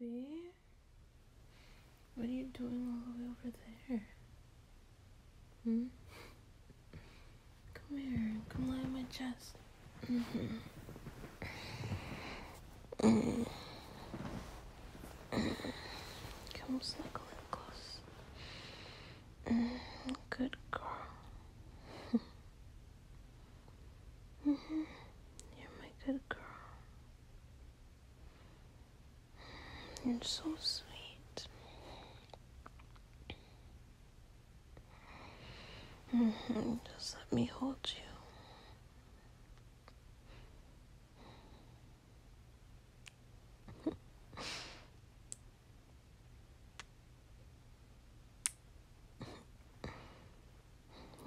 Baby, what are you doing all the way over there? Hmm? Come here, come lie on my chest. come snuggle in close. Good girl. Mm -hmm. You're my good girl. You're so sweet. Mm -hmm. Just let me hold you.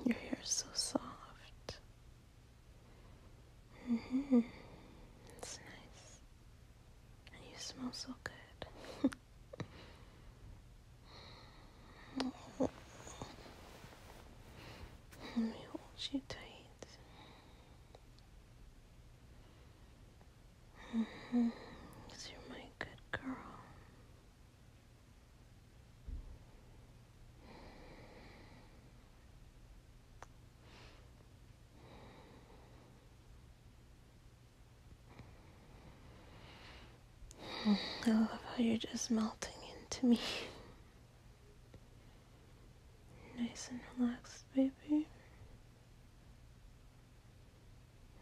Your hair is so soft. It's mm-hmm. nice. And you smell so good. Let me hold you tight. Mm-hmm. Cause you're my good girl. I love how you're just melting into me. Nice and relaxed, baby.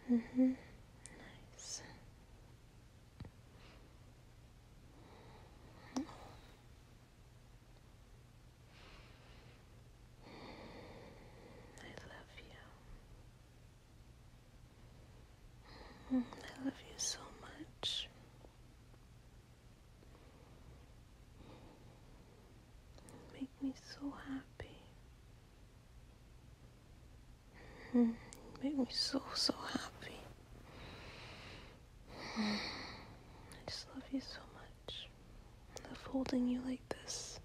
hmm Nice. I love you. Mm, I love you so much. make me so happy. You hmm, make me so, so happy. I just love you so much. I love holding you like this.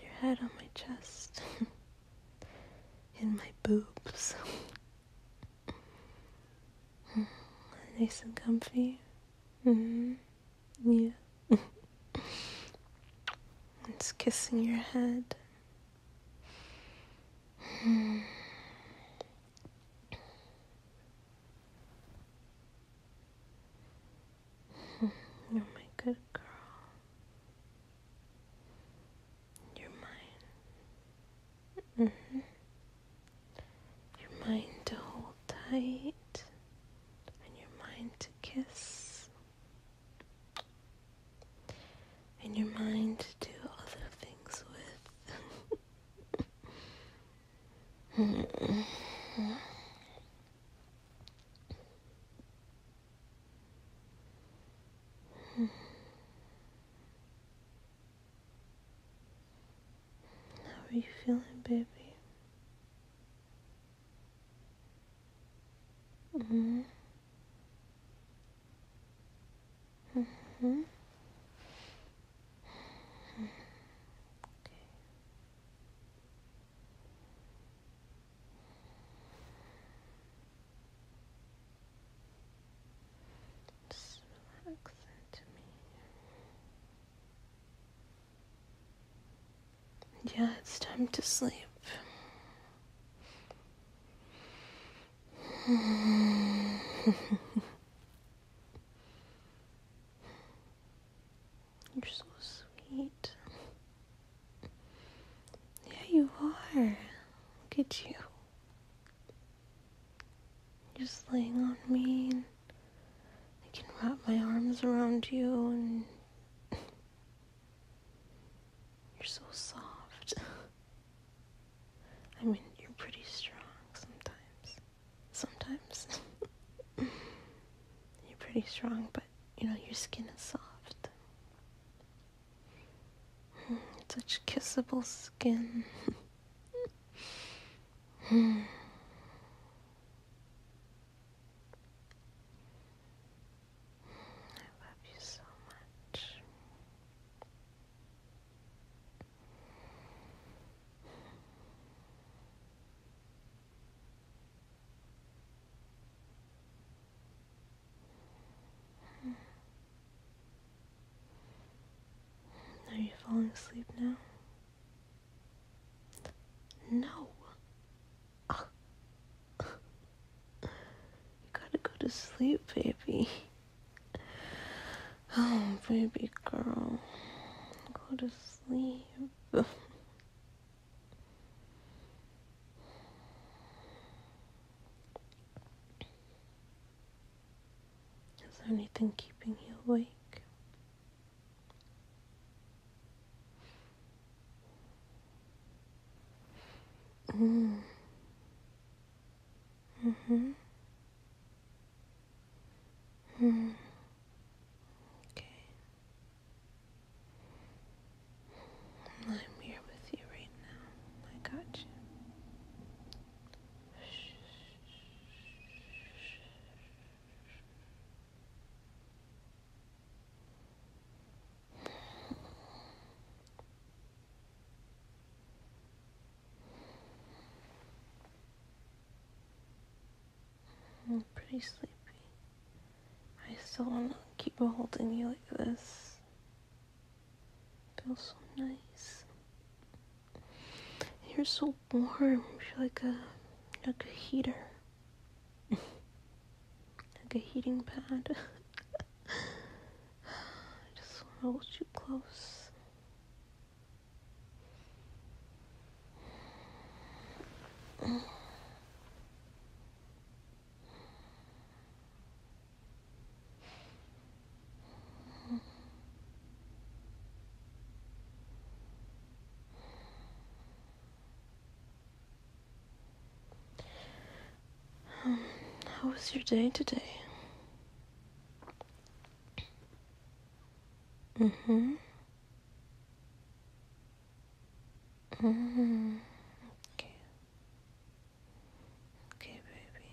your head on my chest. In my boobs. nice and comfy. mm Yeah. it's kissing your head. You're my good girl. You're mine. Mm-hmm. You're mine to hold tight, and you're mine to kiss. In your mind to do other things with. How are you feeling, baby? hmm Mm hmm Yeah, it's time to sleep. You're so sweet. Yeah, you are. Look at you. Just laying on me, I can wrap my arms around you and you're so soft. I mean, you're pretty strong sometimes. Sometimes. you're pretty strong, but you know, your skin is soft. Hmm, such kissable skin. Hmm. I love you so much. Are you falling asleep now? No. Ah you gotta go to sleep, baby. Oh, baby girl. Go to sleep. Is there anything keeping you awake? Mm. Mm-hmm. Hmm. Okay. I'm here with you right now. I got you. I'm pretty sleepy. I still want to keep holding you like this. It feels so nice. You're so warm. You're like a like a heater. like a heating pad. I just want to hold you close. Um, how was your day today? Mm-hmm. Mm-hmm. Okay. Okay, baby.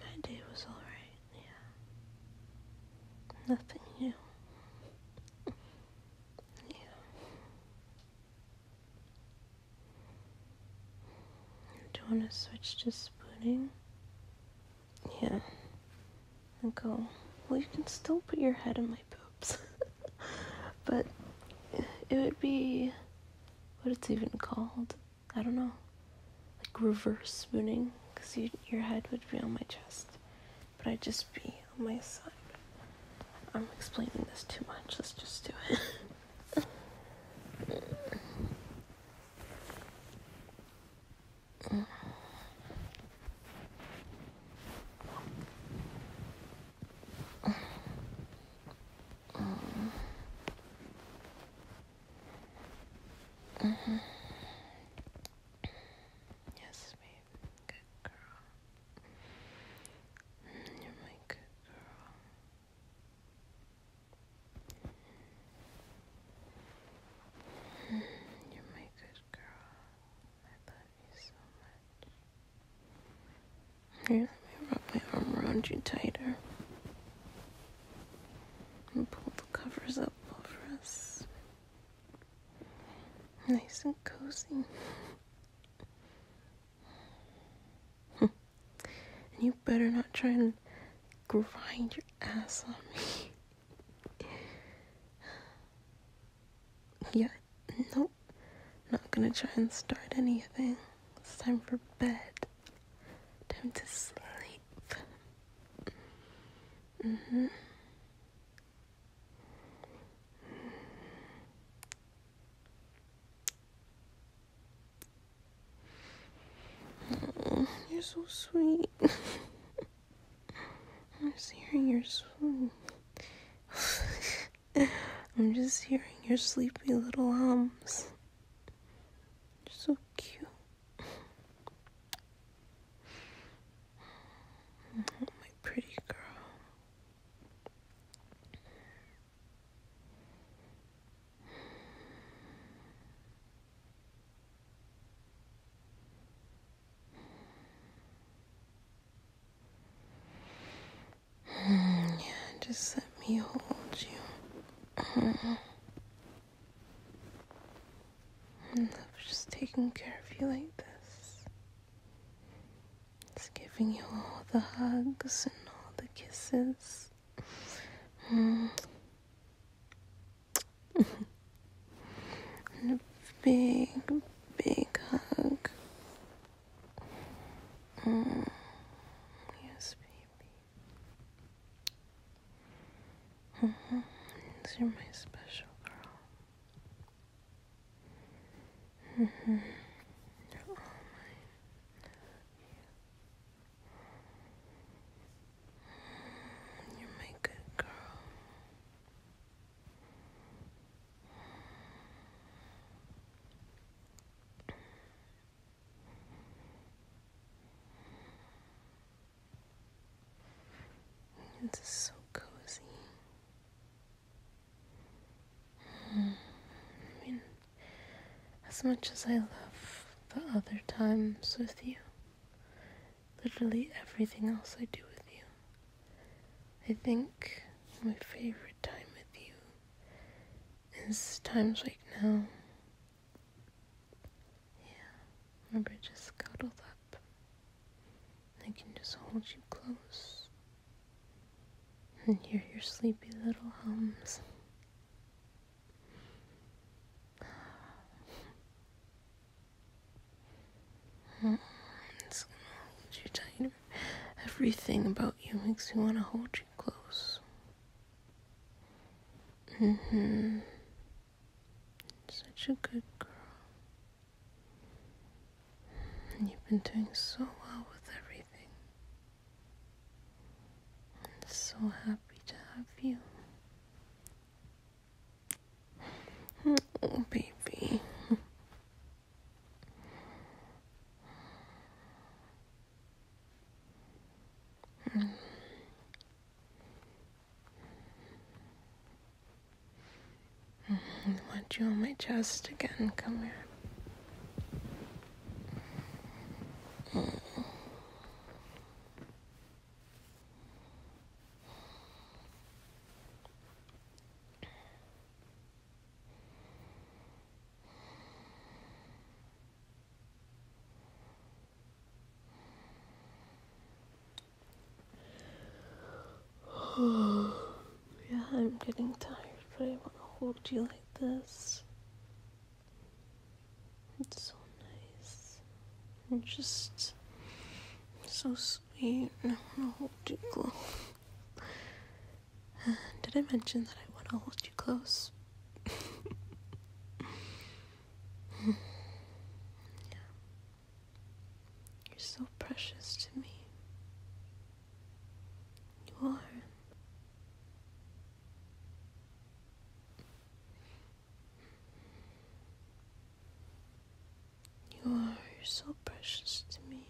My day was alright, yeah. Nothing new. Yeah. Do you want to switch to spooning? Yeah. And go, well, you can still put your head in my boobs. but it would be what it's even called. I don't know. Like reverse spooning, because you, your head would be on my chest but I just be on my side. I'm explaining this too much. Let's just do it. Yes, babe. Good girl. Mm, you're my good girl. Mm, you're my good girl. I love you so much. Here, let me wrap my arm around you tighter. And pull the covers up over us. Nice and cozy. Hmm. and you better not try to grind your ass on me. yeah, nope. Not gonna try and start anything. It's time for bed. Time to sleep. Mm hmm you're so sweet. I'm just hearing your swoon. I'm just hearing your sleepy little hums. so cute my pretty girl. yeah, just let me hold you. And of just taking care of you like this. It's giving you all the hugs and all the kisses. a big, big hug. You're my special girl. Mm -hmm. You're my good girl. It's is so cozy. Hmm. I mean, as much as I love the other times with you, literally everything else I do with you, I think my favorite time with you is times like now. Yeah, remember we just cuddled up I can just hold you close and hear your sleepy little hums. Mm, it's gonna hold you tighter. Everything about you makes me want to hold you close. Mm hmm. Such a good girl. And you've been doing so well with everything. I'm so happy to have you. Oh, baby. I want you on my chest again. Come here. yeah, I'm getting tired, but I want to hold you like this. It's so nice. You're just so sweet. I want to hold you close. Did I mention that I want to hold you close? yeah. You're so precious to me. You are. You are. You're so precious to me.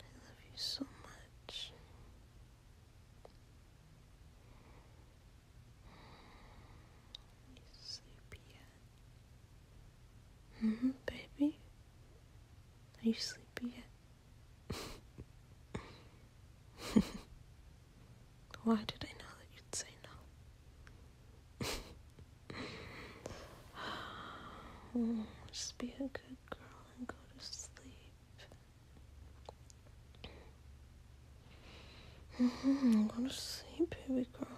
I love you so much. You sleepy yet? hmm, baby? Are you sleepy yet? Why did I know that you'd say no? just be a good girl and go to sleep. Mm-hmm, I'm going to sleep, baby girl.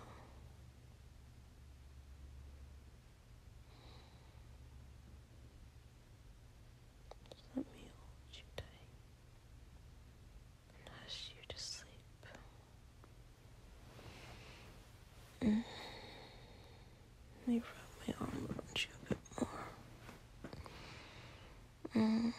let me hold you tight hush you to sleep. Mm-hmm. Let me wrap my arm around you a bit more. Mm.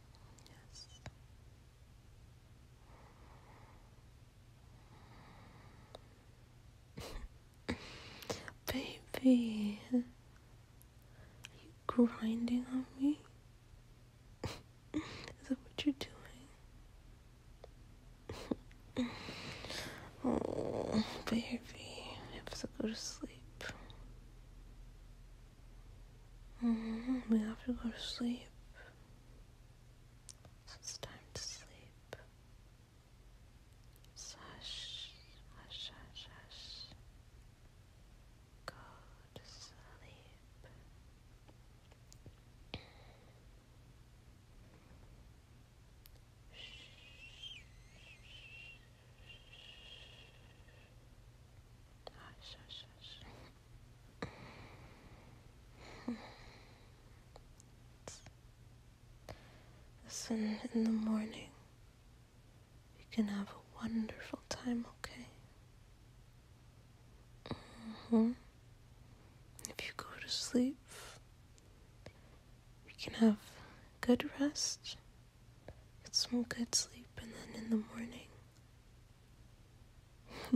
Baby, are you grinding on me? Is that what you're doing? oh, baby, I have to go to sleep. Mm, we have to go to sleep. It's time to sleep. So hush, hush, Go to sleep. Hush, hush, Listen, in the morning, we can have a wonderful time, okay? Mm-hmm. If you go to sleep, we can have good rest, get some good sleep, and then in the morning,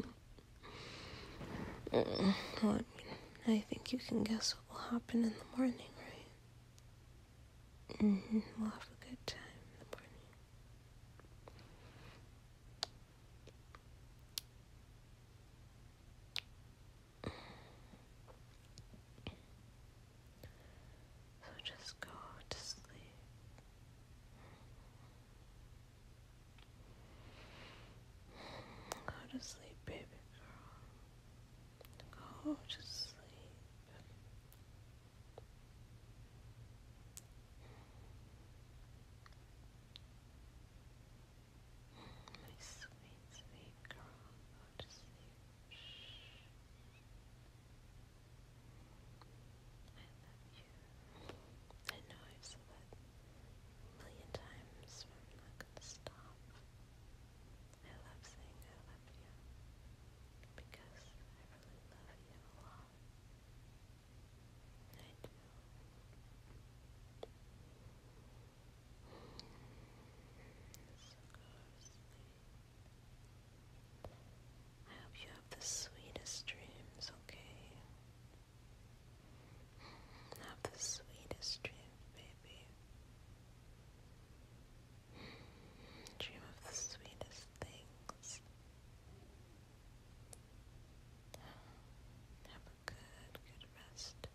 I think you can guess what will happen in the morning, right? Mm-hmm. We'll have a good time in the morning. So just go to sleep. Go to sleep, baby girl. Go to sleep. My sweet, sweet girl, go to sleep. Shh. I love you. I know I've said that a million times, I'm not gonna stop. I love saying I love you because I really love you a lot. I So go I hope you have the sweetest dreams, okay? Have the sweetest dreams, baby. Dream of the sweetest things. Have a good, good rest.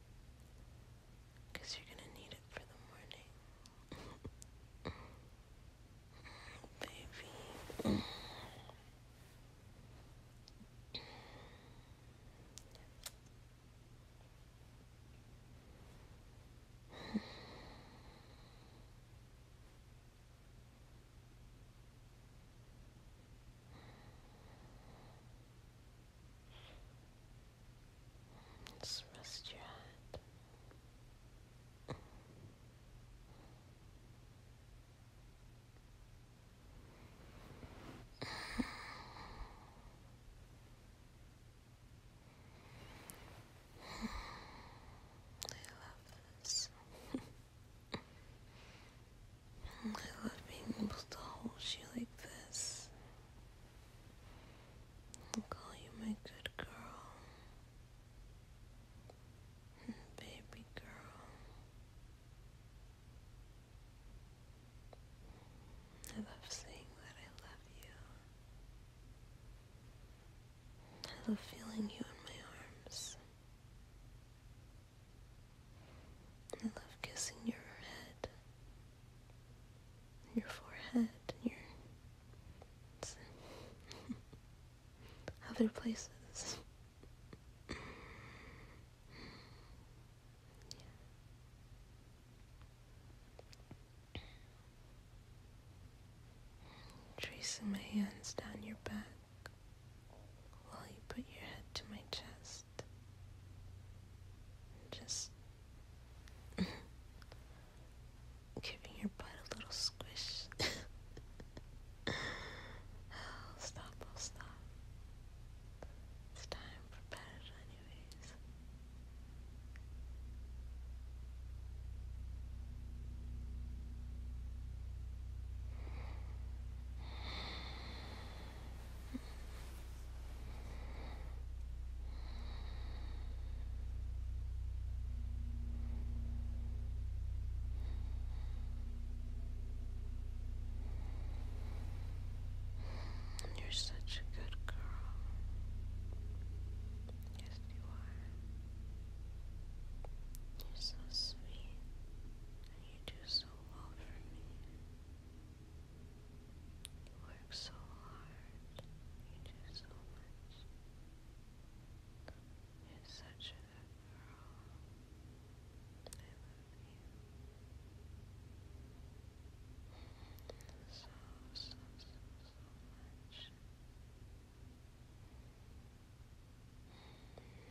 Because you're going to need it for the morning. baby. Just your head love this. I love being able to hold you like this. call you my good girl. Baby girl. I love saying that I love you. I love feeling you in my arms. I love kissing your head, your forehead, your. other places. Tracing my hands down your back while you put your head to my chest. just giving your butt a little squish. oh, stop, oh, stop. It's time for bed, anyways. You're such a good girl. Yes, you are. You're so sweet, and you do so well for me. You work so hard, you do so much. You're such a good girl. So, so, so, so much. Hey, I love you.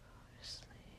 Go to sleep. Shh.